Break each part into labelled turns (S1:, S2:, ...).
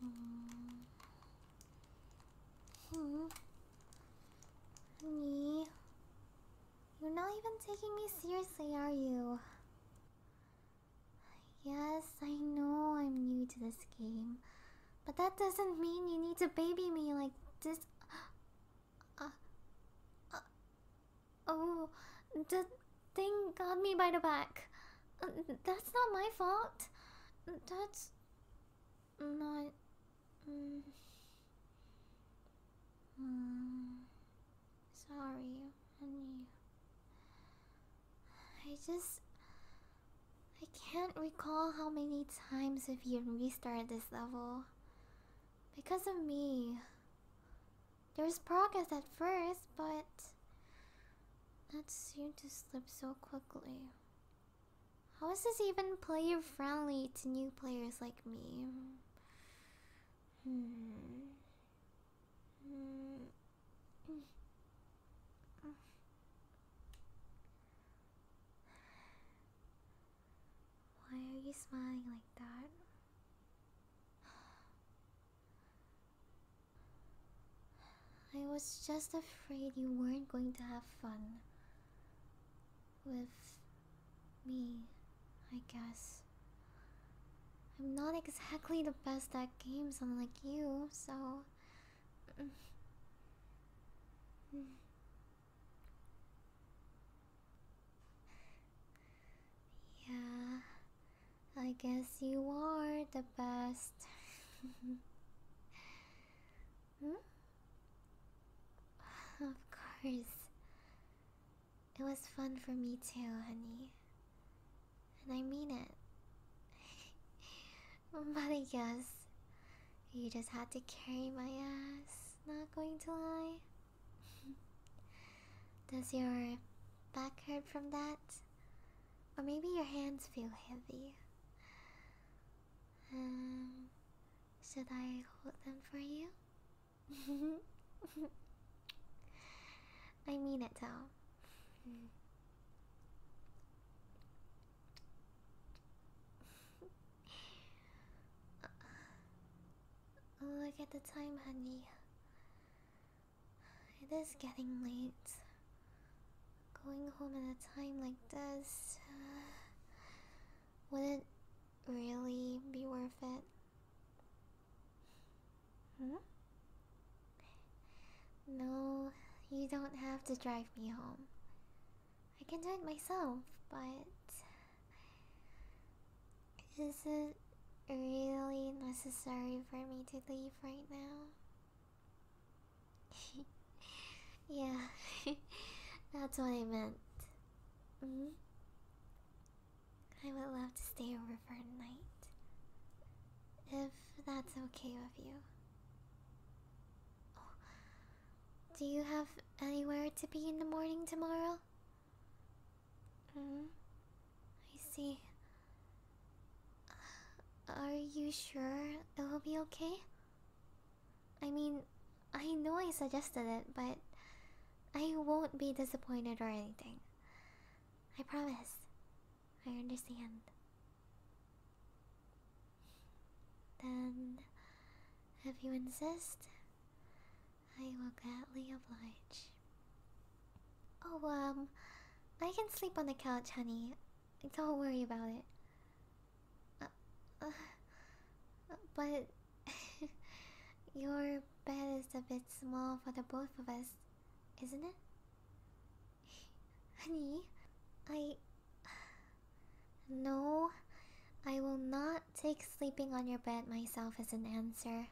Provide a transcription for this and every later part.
S1: Hmm. Honey. You're not even taking me seriously, are you? Yes, I know I'm new to this game. But that doesn't mean you need to baby me like this. Uh, uh, oh, that. They got me by the back. Uh, that's not my fault. That's not. Mm. Hmm, sorry, I just. I can't recall how many times have you restarted this level. Because of me. There was progress at first, but that seemed to slip so quickly. How is this even player friendly to new players like me? Hmm. Why are you smiling like that? I was just afraid you weren't going to have fun with me, I guess. I'm not exactly the best at games, unlike you, so. Mm. yeah, I guess you are the best. Hmm? Of course. It was fun for me too, honey. And I mean it. but I guess you just had to carry my ass, not going to lie. Does your back hurt from that? Or maybe your hands feel heavy. Um, should I hold them for you? I mean it though. Look at the time, honey. It is getting late. Going home at a time like this. Uh, would it really be worth it? Hmm? No, you don't have to drive me home. I can do it myself, but. this Is it really necessary for me to leave right now? yeah, that's what I meant. Mm-hmm. I would love to stay over for a night. If that's okay with you. Oh, do you have anywhere to be in the morning tomorrow? hmm. I see. Are you sure it will be okay? I mean, I know I suggested it, but I won't be disappointed or anything. I promise. I understand. Then, if you insist, I will gladly oblige. Oh, um, I can sleep on the couch, honey. Don't worry about it. Uh, uh, but your bed is a bit small for the both of us, isn't it? Honey, I. No, I will not take sleeping on your bed myself as an answer.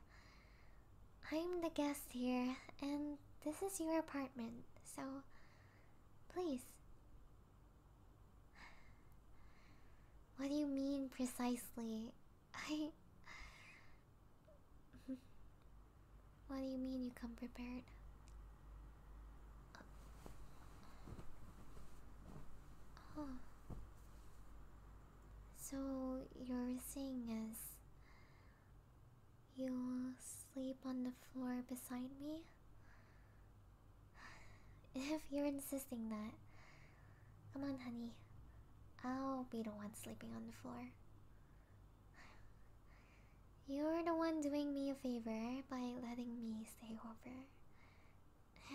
S1: I'm the guest here, and this is your apartment so please. What do you mean precisely? I. What do you mean you come prepared? Oh. So, you're saying is You'll sleep on the floor beside me? If you're insisting that. Come on, honey. I'll be the one sleeping on the floor. You're the one doing me a favor by letting me stay over.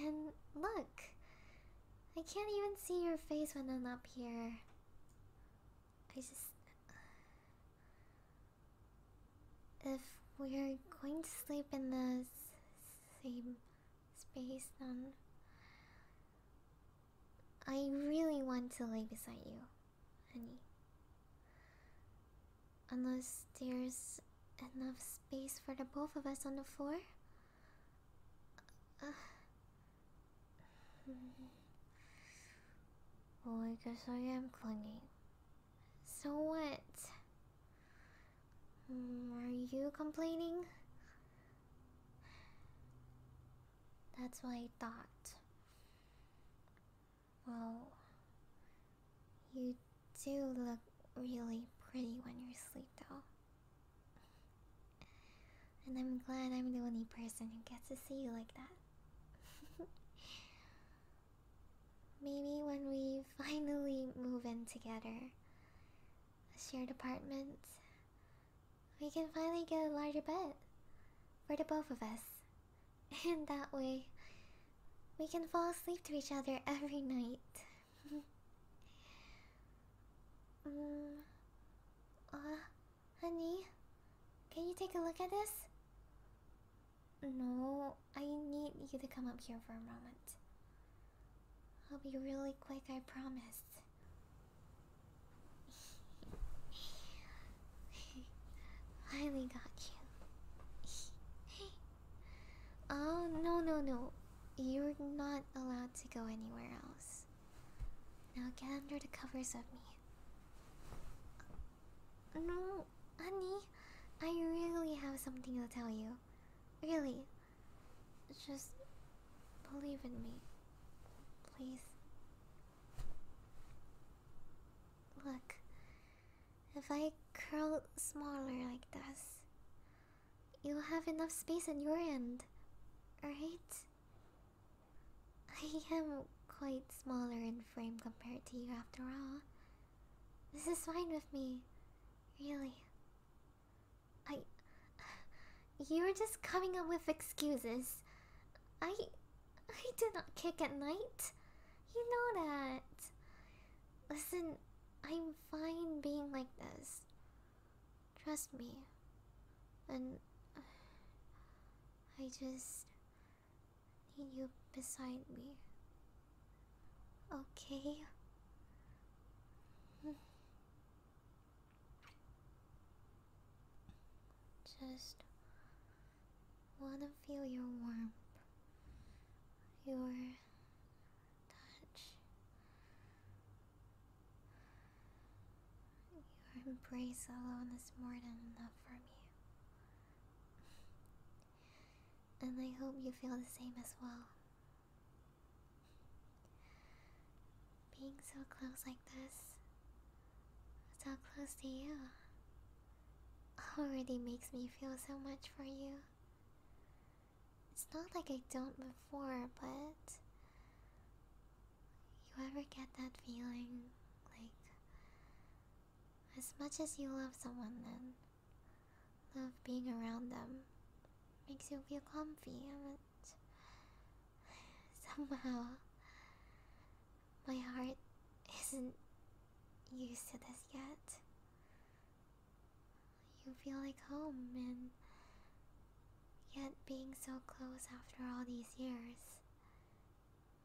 S1: And look, I can't even see your face when I'm up here. I just. If we're going to sleep in the same space, then I really want to lay beside you, honey. Unless there's enough space for the both of us on the floor? Uh, hmm. Well, I guess I am clinging. So what? Hmm, are you complaining? That's what I thought. Well, you do look really pretty when you're asleep, though. And I'm glad I'm the only person who gets to see you like that. Maybe when we finally move in together, a shared apartment, we can finally get a larger bed for the both of us. And that way, we can fall asleep to each other every night. um, uh, Honey, can you take a look at this? No, I need you to come up here for a moment. I'll be really quick, I promise. Finally got you. oh, no, no, no. You're not allowed to go anywhere else. Now get under the covers of me. No, honey, I really have something to tell you. Really. Just believe in me. Please. Look, if I curl smaller like this, you'll have enough space at your end, right? I am quite smaller in frame compared to you after all. This is fine with me. Really. I. You're just coming up with excuses. I. I do not kick at night. You know that. Listen, I'm fine being like this. Trust me. And. I just need you beside me. Okay. Just wanna feel your warmth, your touch, your embrace alone is more than enough for me. And I hope you feel the same as well. Being so close like this, so close to you, already makes me feel so much for you. It's not like I don't before, but you ever get that feeling like as much as you love someone, then love being around them makes you feel comfy, and somehow my heart isn't used to this yet. You feel like home, and yet being so close after all these years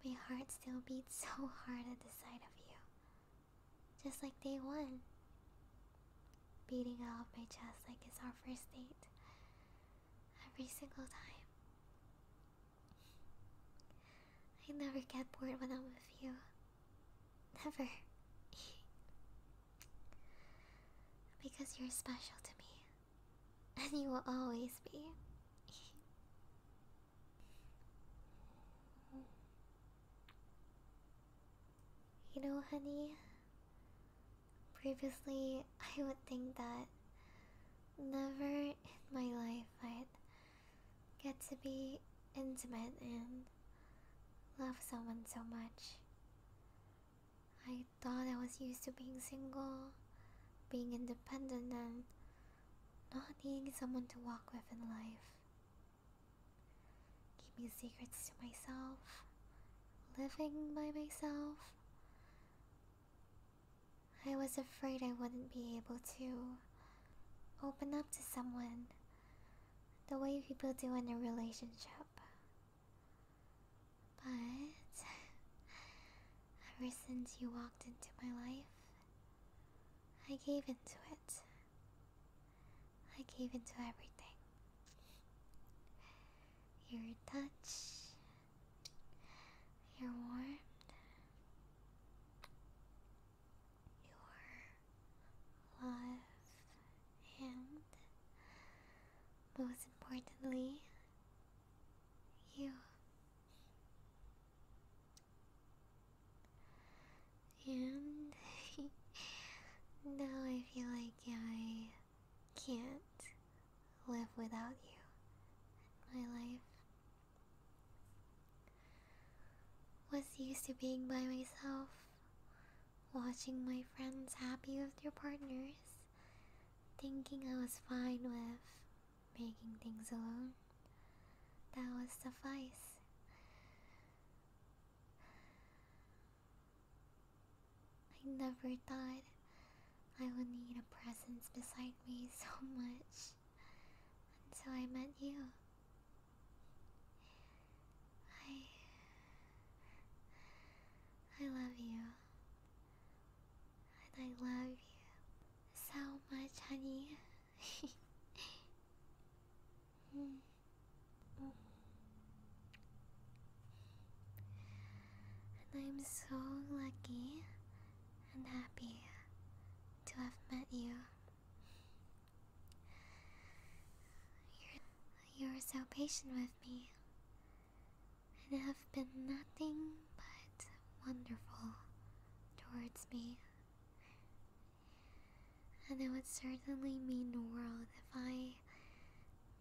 S1: my heart still beats so hard at the sight of you. Just like day one. Beating out of my chest like it's our first date. Every single time. I never get bored when I'm with you. Never. because you're special to me. And you will always be. You know, honey, previously I would think that never in my life I'd get to be intimate and love someone so much. I thought I was used to being single, being independent, and not needing someone to walk with in life. Keeping secrets to myself. Living by myself. I was afraid I wouldn't be able to open up to someone the way people do in a relationship. But Ever since you walked into my life, I gave into it. I gave into everything. Your touch, your warmth, your love, and most importantly, you. And now I feel like I can't live without you my life. Was used to being by myself, watching my friends happy with their partners, thinking I was fine with making things alone. That would suffice. I never thought I would need a presence beside me so much until I met you. I. I love you and I love you so much, honey. And I'm so lucky and happy to have met you. You're, you're so patient with me, and have been nothing but wonderful towards me. And it would certainly mean the world if I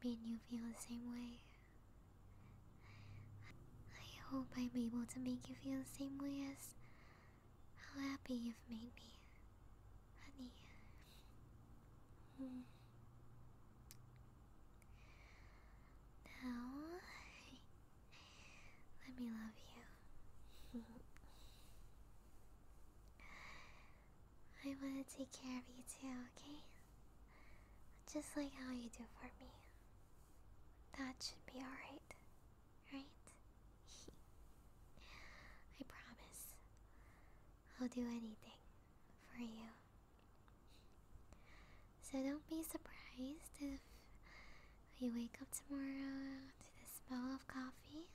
S1: made you feel the same way. I hope I'm able to make you feel the same way as how happy you've made me, honey. Hmm. Now, let me love you. I want to take care of you too, okay? Just like how you do for me. That should be alright, right? I promise. I'll do anything for you. So don't be surprised if you wake up tomorrow to the smell of coffee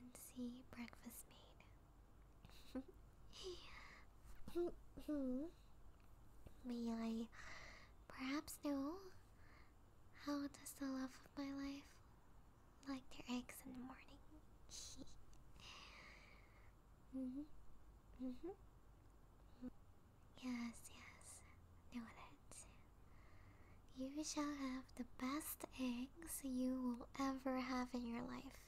S1: and see breakfast made. May I perhaps know how does the love of my life like their eggs in the morning? mm-hmm. Mm-hmm. Yes, yes, know that. You shall have the best eggs you will ever have in your life.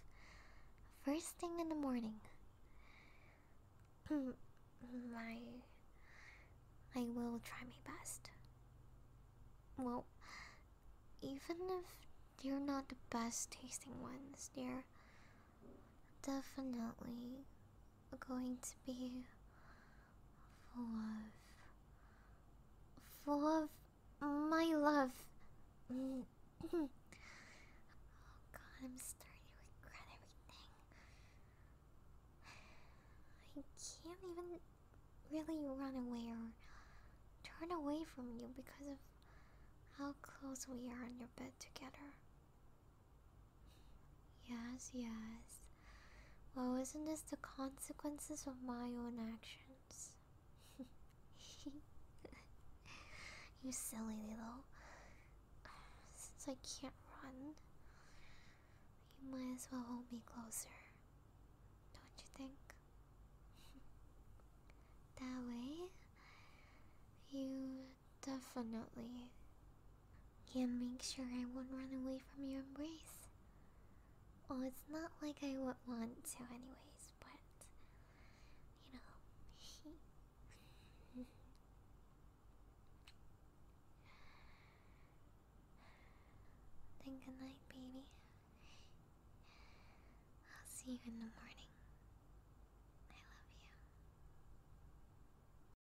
S1: First thing in the morning. I, mm, I will try my best. Well, even if they're not the best tasting ones, they're definitely going to be full of full of my love. Mm. oh god, I'm starting to regret everything. I can't even really run away or turn away from you because of how close we are on your bed together. Yes, yes. Well, isn't this the consequences of my own actions? you silly little. Since I can't run, you might as well hold me closer. Don't you think? that way, you Definitely. And make sure I won't run away from your embrace. Well, it's not like I would want to, anyways, but. You know. then good night, baby. I'll see you in the morning. I love you.